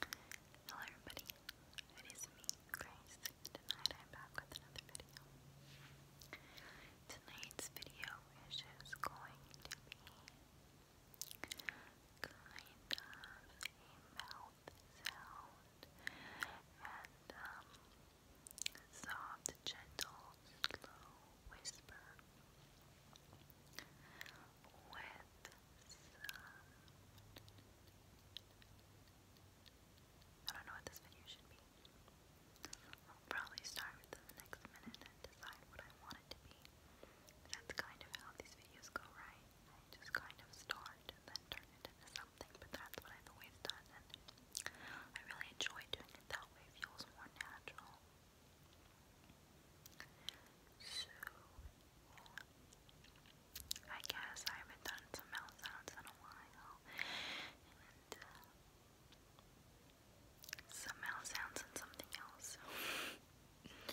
Hello everybody, it is me, Grace. Tonight I'm back with another video. Tonight's video is just going to be kind of a mouth sound and um, soft, gentle, slow whisper with I don't know what this video should be. probably start within the next minute and decide what I want it to be. That's kind of how these videos go, right? I just kind of start and then turn it into something, but that's what I've always done, and I really enjoy doing it that way. It feels more natural. So, yeah. I guess I haven't done some mouth sounds in a while. And, uh, some mouth sounds and something else. So, i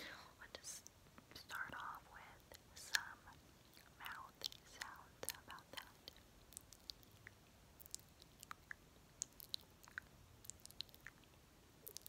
start off with some mouth sounds about that.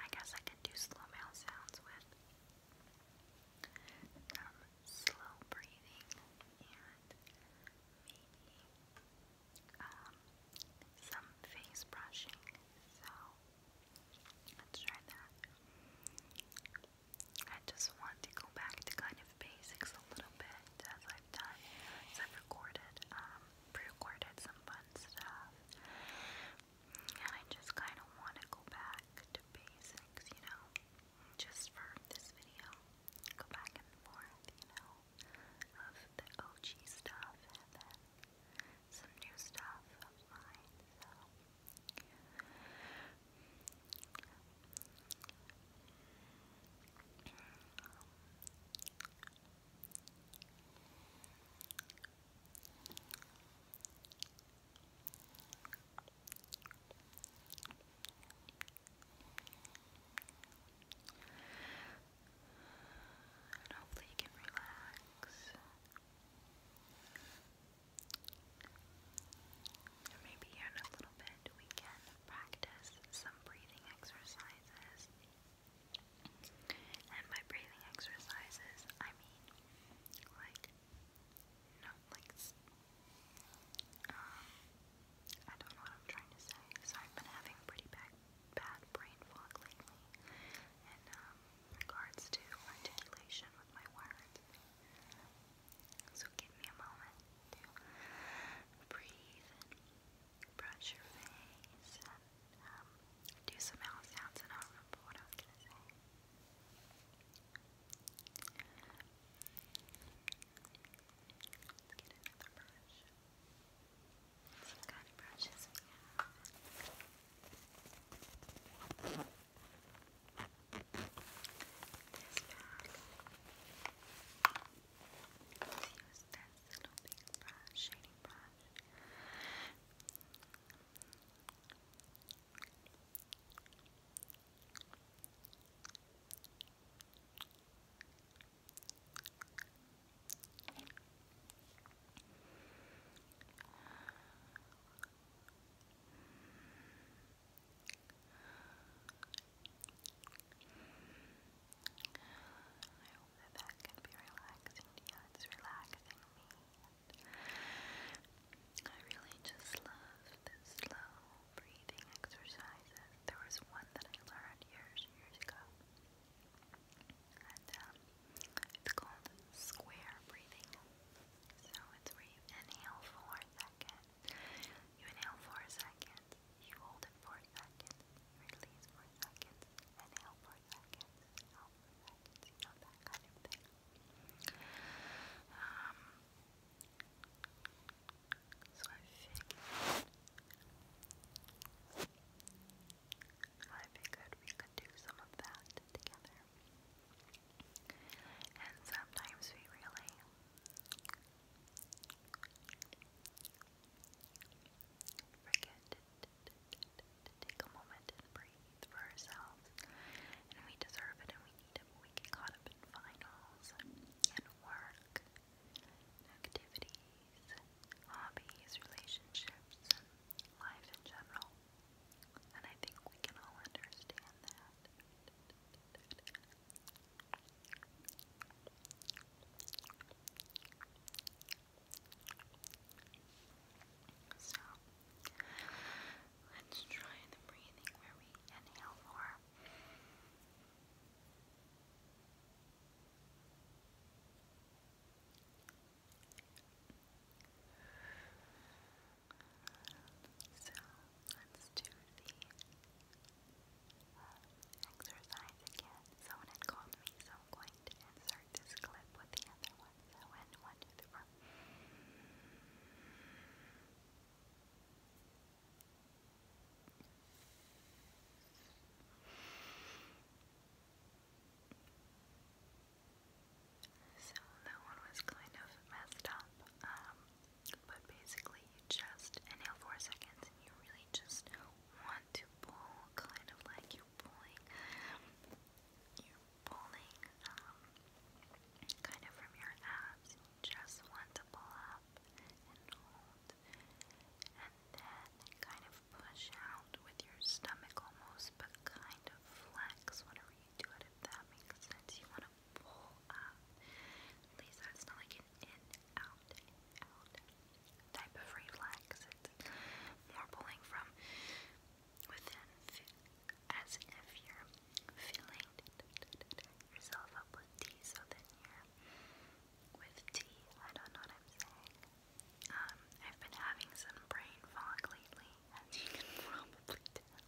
I guess I can do slow mouth sounds with um, slow breathing and maybe um, some face brushing. So let's try that. I just want to go back to kind of basics a little bit as I've done, as I've recorded um, pre-recorded some fun stuff. And I just kind of want to go back to basics, you know, just for this video. Go back and forth, you know, of the OG stuff and then some new stuff of mine, and hopefully you can relax. And maybe here in a little bit we can practice some breathing exercises. And by breathing exercises, I mean, like, no, like, um, I don't know what I'm trying to say. So I've been having pretty bad, bad brain fog lately in um, regards to articulation with my words. So give me a moment to breathe brush your face and um, do some mouth sounds, and I don't remember what I was gonna say. Let's get another brush. Some kind of brushes we have. This bag. Let's use this little brush, shading brush. I that can be relaxing to you. It's relaxing I really just love the slow breathing exercises. There was one that I learned years, years ago. it's called square breathing. So it's where you inhale for a second you inhale 4 seconds, you hold it 4 seconds, release 4 seconds, inhale 4 seconds, inhale 4 seconds, um, so I figured, I figured we could do some of that together. And sometimes we really forget to, take a moment and breathe for ourselves. And we deserve it and we need it, we get caught up in finals and work, activities, hobbies, relationships, life in general. And I think we can all understand that. So let's try the breathing where we inhale for. So let's do the exercise again. Someone had called me, so I'm going to insert this clip with the other one. So, in one, two, three, four. So that one was kind of messed up. Um, but basically, you just inhale for seconds and you really just want to pull, kind of like you're pulling, you're pulling um, kind of from your abs. You just want to pull up and hold, and then kind of push out with your stomach almost, but kind of flex whenever you do it, if that makes sense. You want to pull At least that's not like an in, out, out type of reflex. It's more pulling from within, as if you're filling yourself up with tea, so then with tea. I don't know what I'm saying. Um, I've been having some brain fog lately, as you can probably tell.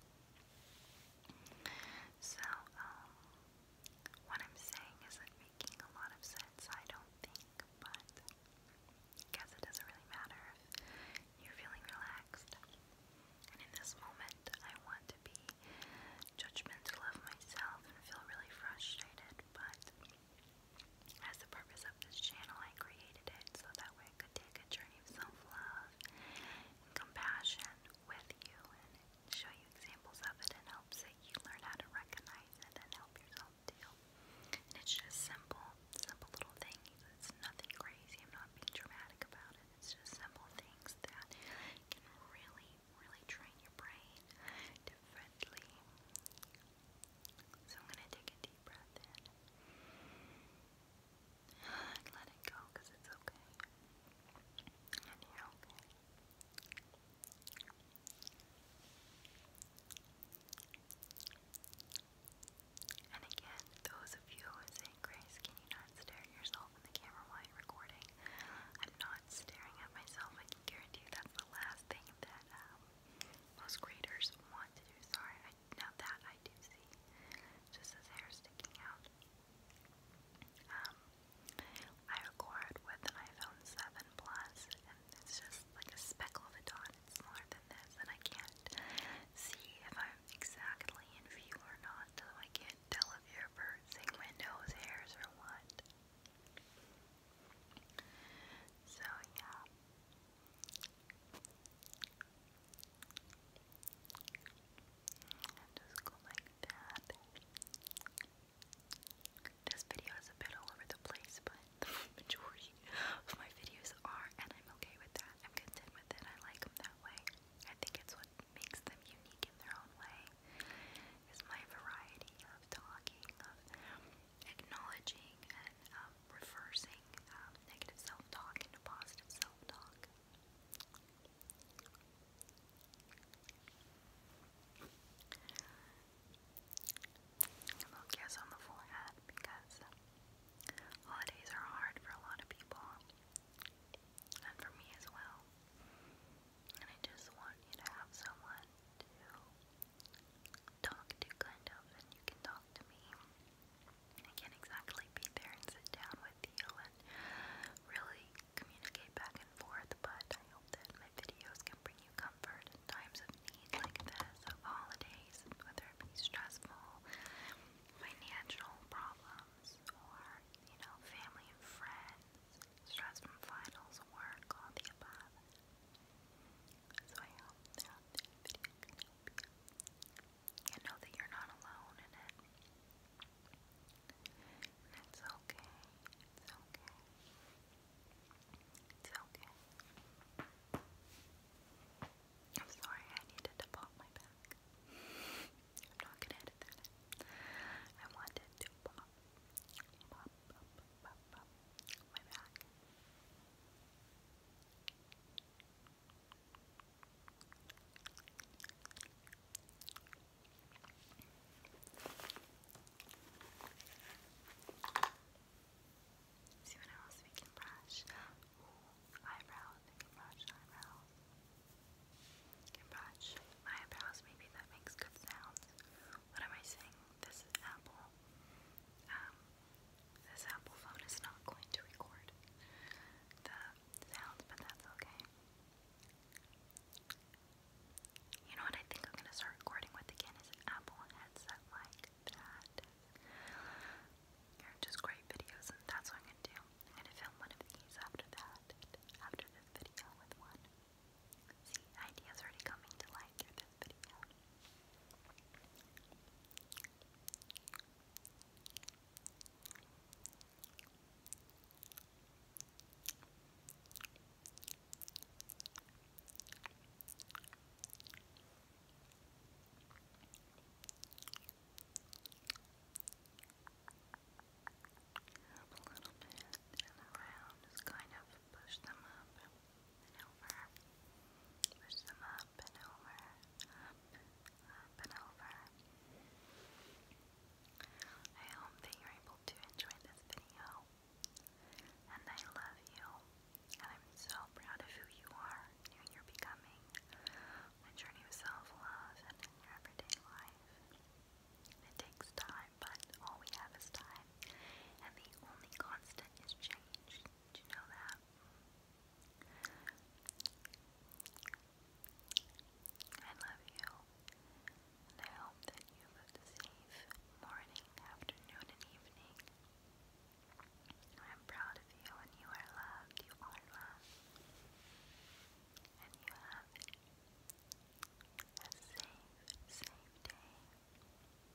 So, um, what I'm saying isn't making a lot of sense, I don't think, but I guess it doesn't really matter if you're feeling relaxed. And in this moment, I want to be judgmental of myself and feel really frustrated, but as the purpose of this channel, I created it so that way I could take a journey of self love and compassion with you and show you examples of it and helps that you learn how to recognize it and help yourself deal. And it's just simple, simple little things. It's nothing crazy. I'm not being dramatic about it. It's just simple things that can really, really train your brain differently. So I'm going to take a deep breath in. And let it go because it's okay. And you okay. And again, those of you who are Grace, can you not stare at yourself in the camera while recording? I'm not staring at myself. I can guarantee you that's the last thing that um, most creators want to do. Sorry, now that I do see, just his hair sticking out. Um, I record with an iPhone 7 Plus, and it's just like a speckle of a dot. It's smaller than this, and I can't see if I'm exactly in view or not, so I can't tell if you hairs or what. So yeah. And just go like that. This video is a bit all over the place, but the majority of my videos are, and I'm okay with that. I'm content with it. I like them that way. I think it's what makes them unique in their own way. Is my variety of talking, of acknowledging, and um, reversing um, negative self-talk into positive self-talk. I on the forehead because holidays are hard for a lot of people, and for me as well. And I just want you to have someone to talk to, kind of, and you can talk to me. I can't exactly be there and sit down with you and really communicate back and forth, but I hope that my videos can bring you comfort in times of need like this, of holidays, whether it be stressful, financial problems, or, you know, family and friends, stress from finals, work, all the above. So I hope that this video can help you and know that you're not alone in it. it's okay. It's okay. It's okay. I'm sorry, I needed to pop my back. I'm not gonna edit that. I wanted to pop, pop, pop, pop, pop my back. See what else we can brush. eyebrows. I can brush eyebrows. can brush eyebrows. Maybe that makes good sounds. What am I saying? This apple. Um, this Apple phone is not going to record the sounds, but that's okay. You know what I think I'm gonna start recording with again is an Apple headset like that. They're just great videos, and that's what I'm gonna do. I'm gonna film one of these after that, after this video with one. See, ideas already coming to light through this video. Up a little bit and around, just kind of push them up and over. Push them up and over, and over. I hope that you're able to enjoy this video. And I love you. And I'm so proud of who you are and who you're becoming on self-love and in your everyday life. It takes time, but all we have is time. And the only constant is change. Do you know that? I love you, I hope that you have safe morning, afternoon, and evening. I'm proud of you, and you are loved. You And you have a safe, safe day.